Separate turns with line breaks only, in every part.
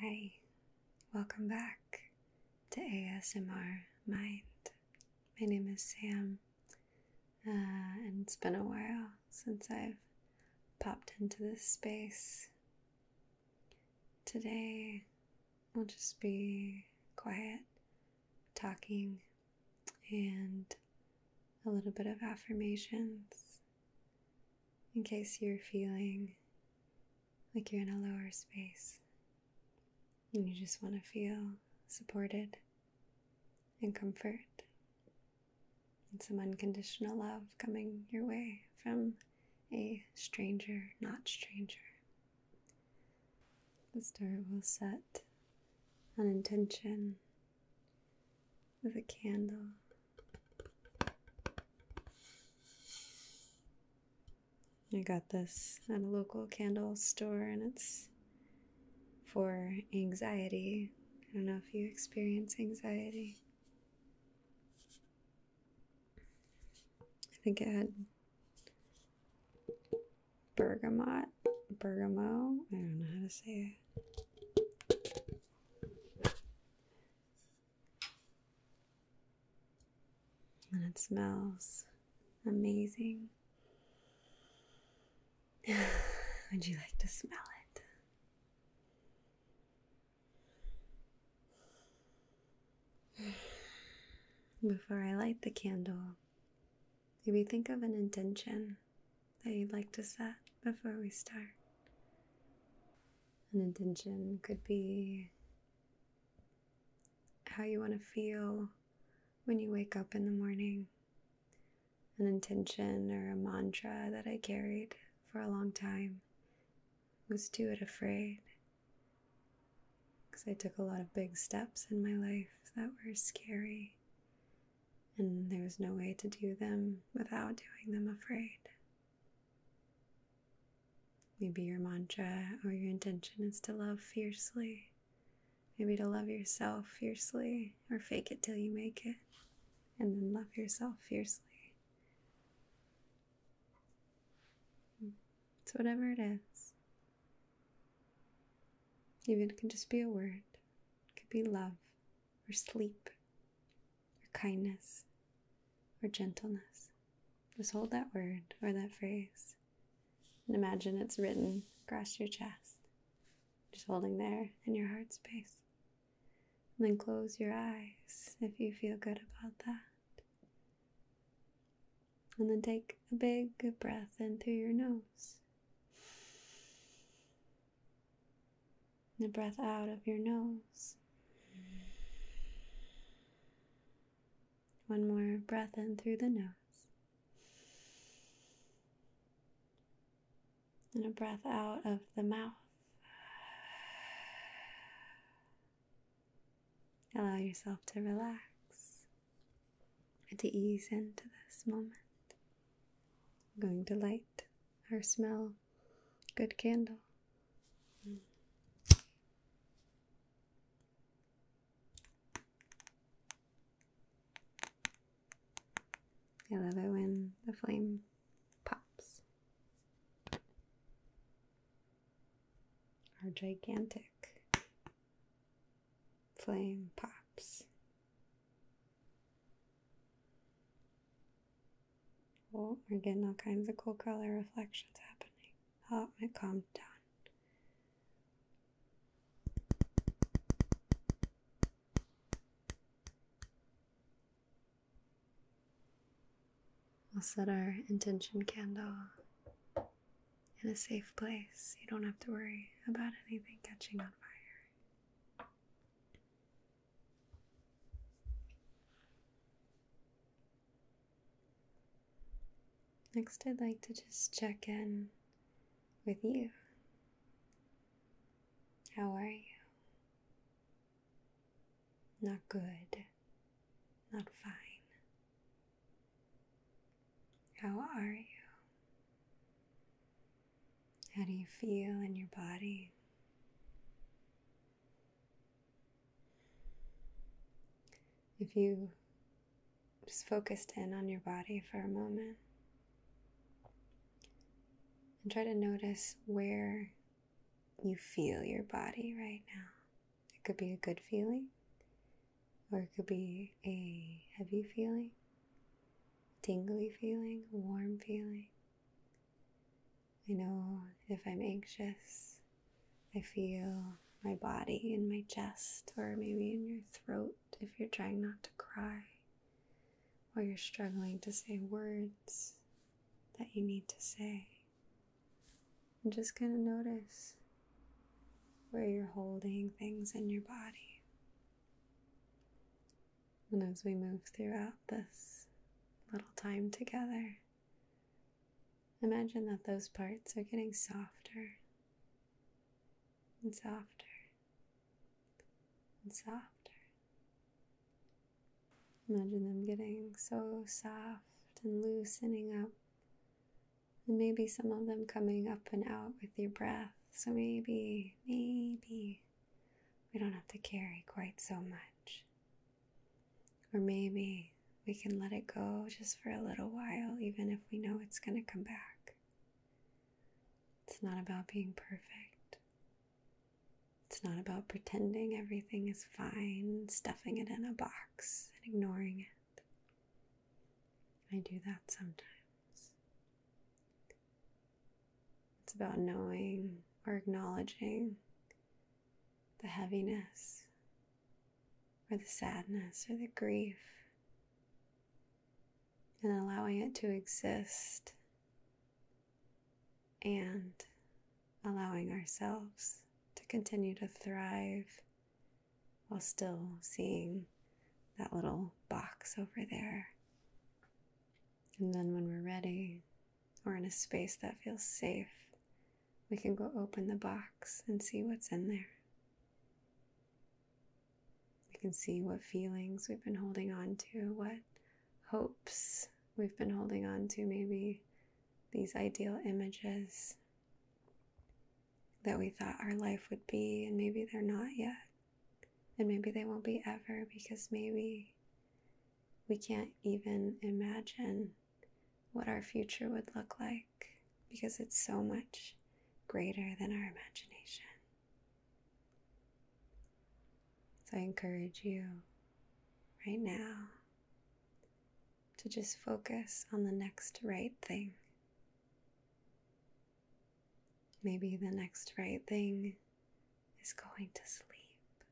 Hi, welcome back to ASMR Mind. My name is Sam, uh, and it's been a while since I've popped into this space. Today, we'll just be quiet, talking, and a little bit of affirmations in case you're feeling like you're in a lower space and you just want to feel supported and comfort and some unconditional love coming your way from a stranger, not stranger. The star will set an intention with a candle. I got this at a local candle store and it's for anxiety. I don't know if you experience anxiety. I think it had bergamot, bergamo. I don't know how to say it. And it smells amazing. Would you like to smell it? Before I light the candle, maybe think of an intention that you'd like to set before we start. An intention could be how you want to feel when you wake up in the morning. An intention or a mantra that I carried for a long time was do it afraid. Because I took a lot of big steps in my life that were scary and there was no way to do them without doing them afraid. Maybe your mantra or your intention is to love fiercely. Maybe to love yourself fiercely or fake it till you make it and then love yourself fiercely. It's whatever it is. Even it can just be a word, it could be love or sleep or kindness or gentleness. Just hold that word or that phrase and imagine it's written across your chest, just holding there in your heart space. And then close your eyes if you feel good about that. And then take a big breath in through your nose. The breath out of your nose. One more breath in through the nose. And a breath out of the mouth. Allow yourself to relax and to ease into this moment. going to light our smell Good candle. I love it when the flame pops. Our gigantic flame pops. Oh, we're getting all kinds of cool color reflections happening. Oh, it calm down. We'll set our intention candle in a safe place. You don't have to worry about anything catching on fire. Next, I'd like to just check in with you. How are you? Not good, not fine. How are you? How do you feel in your body? If you just focused in on your body for a moment and try to notice where you feel your body right now. It could be a good feeling or it could be a heavy feeling tingly feeling, warm feeling. I know if I'm anxious, I feel my body in my chest or maybe in your throat if you're trying not to cry or you're struggling to say words that you need to say. i just kind of notice where you're holding things in your body. And as we move throughout this little time together, imagine that those parts are getting softer and softer and softer. Imagine them getting so soft and loosening up. And maybe some of them coming up and out with your breath. So maybe, maybe we don't have to carry quite so much. Or maybe we can let it go just for a little while, even if we know it's going to come back. It's not about being perfect. It's not about pretending everything is fine, stuffing it in a box, and ignoring it. I do that sometimes. It's about knowing or acknowledging the heaviness or the sadness or the grief and allowing it to exist and allowing ourselves to continue to thrive while still seeing that little box over there and then when we're ready or in a space that feels safe, we can go open the box and see what's in there. We can see what feelings we've been holding on to, what hopes we've been holding on to, maybe these ideal images that we thought our life would be, and maybe they're not yet. And maybe they won't be ever because maybe we can't even imagine what our future would look like because it's so much greater than our imagination. So I encourage you right now to just focus on the next right thing. Maybe the next right thing is going to sleep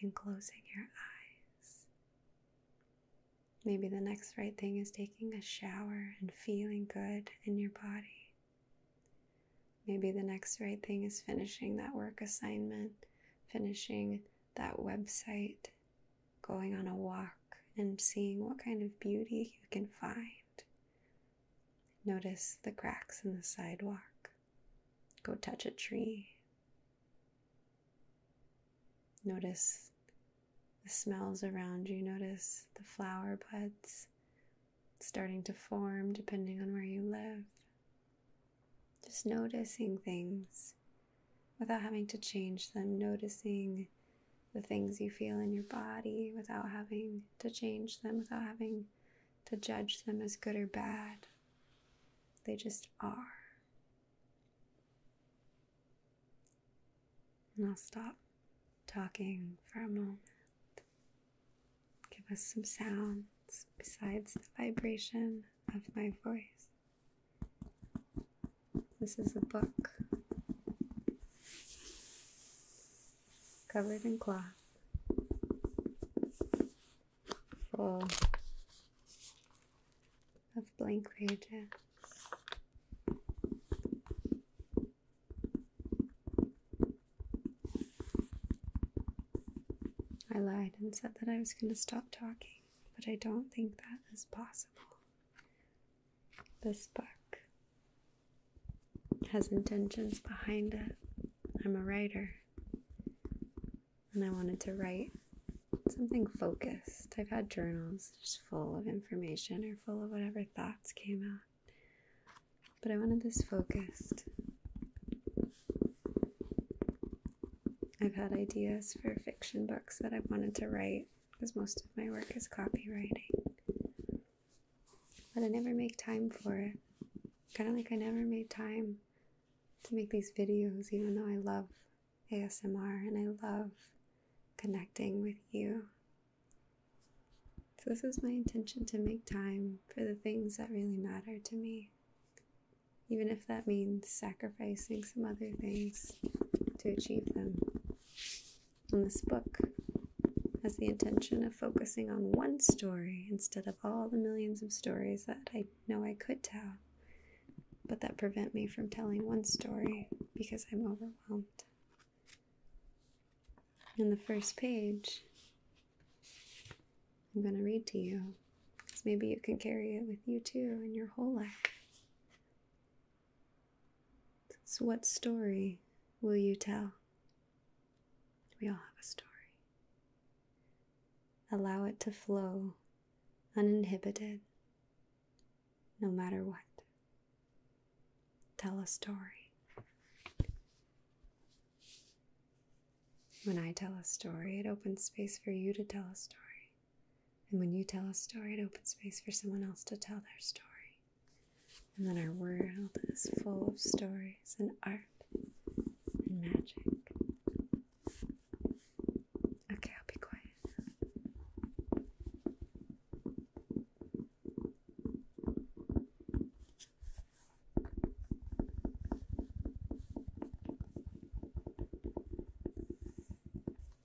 and closing your eyes. Maybe the next right thing is taking a shower and feeling good in your body. Maybe the next right thing is finishing that work assignment, finishing that website, going on a walk and seeing what kind of beauty you can find Notice the cracks in the sidewalk. Go touch a tree. Notice the smells around you. Notice the flower buds starting to form depending on where you live. Just noticing things without having to change them, noticing the things you feel in your body without having to change them, without having to judge them as good or bad. They just are. And I'll stop talking for a moment. Give us some sounds besides the vibration of my voice. This is a book covered in cloth full of blank pages. I lied and said that I was going to stop talking, but I don't think that is possible. This book has intentions behind it. I'm a writer, and I wanted to write something focused. I've had journals just full of information or full of whatever thoughts came out. But I wanted this focused. I've had ideas for fiction books that I wanted to write because most of my work is copywriting. But I never make time for it. Kind of like I never made time to make these videos, even though I love ASMR and I love connecting with you. So, this is my intention to make time for the things that really matter to me, even if that means sacrificing some other things to achieve them. And this book has the intention of focusing on one story instead of all the millions of stories that I know I could tell, but that prevent me from telling one story because I'm overwhelmed. In the first page, I'm going to read to you because maybe you can carry it with you too in your whole life. So, what story will you tell? We all have a story. Allow it to flow uninhibited, no matter what. Tell a story. When I tell a story, it opens space for you to tell a story. And when you tell a story, it opens space for someone else to tell their story and then our world is full of stories and art and magic. Okay, I'll be quiet.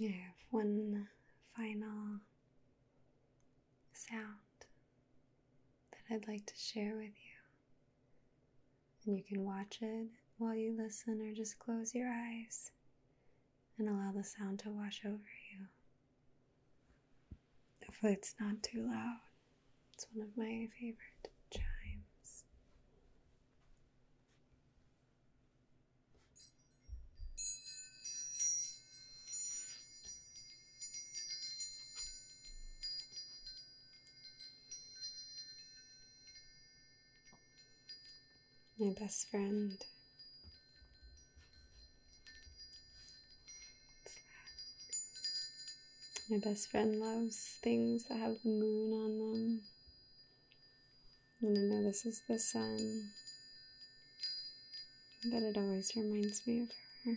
I have one final sound that I'd like to share with you. And you can watch it while you listen, or just close your eyes and allow the sound to wash over you. Hopefully, it's not too loud. It's one of my favorite chimes. My best friend. My best friend loves things that have the moon on them. And I know this is the sun, but it always reminds me of her.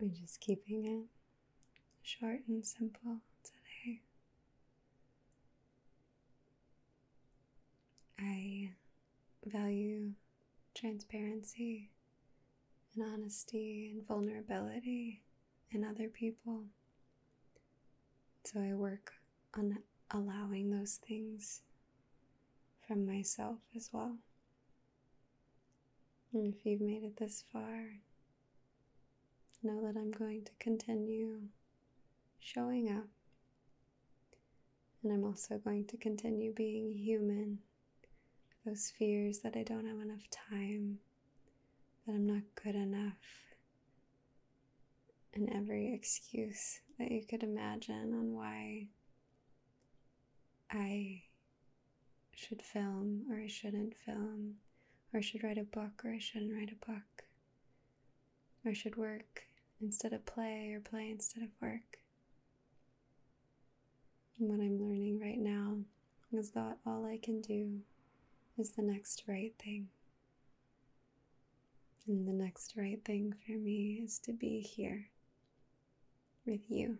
We're just keeping it short and simple today. I value transparency and honesty and vulnerability in other people. So I work on allowing those things from myself as well. And if you've made it this far, know that I'm going to continue showing up and I'm also going to continue being human. Those fears that I don't have enough time, that I'm not good enough, and every excuse that you could imagine on why I should film or I shouldn't film, or I should write a book or I shouldn't write a book or should work instead of play or play instead of work. And what I'm learning right now is that all I can do is the next right thing. And the next right thing for me is to be here with you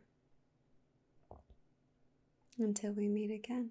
until we meet again.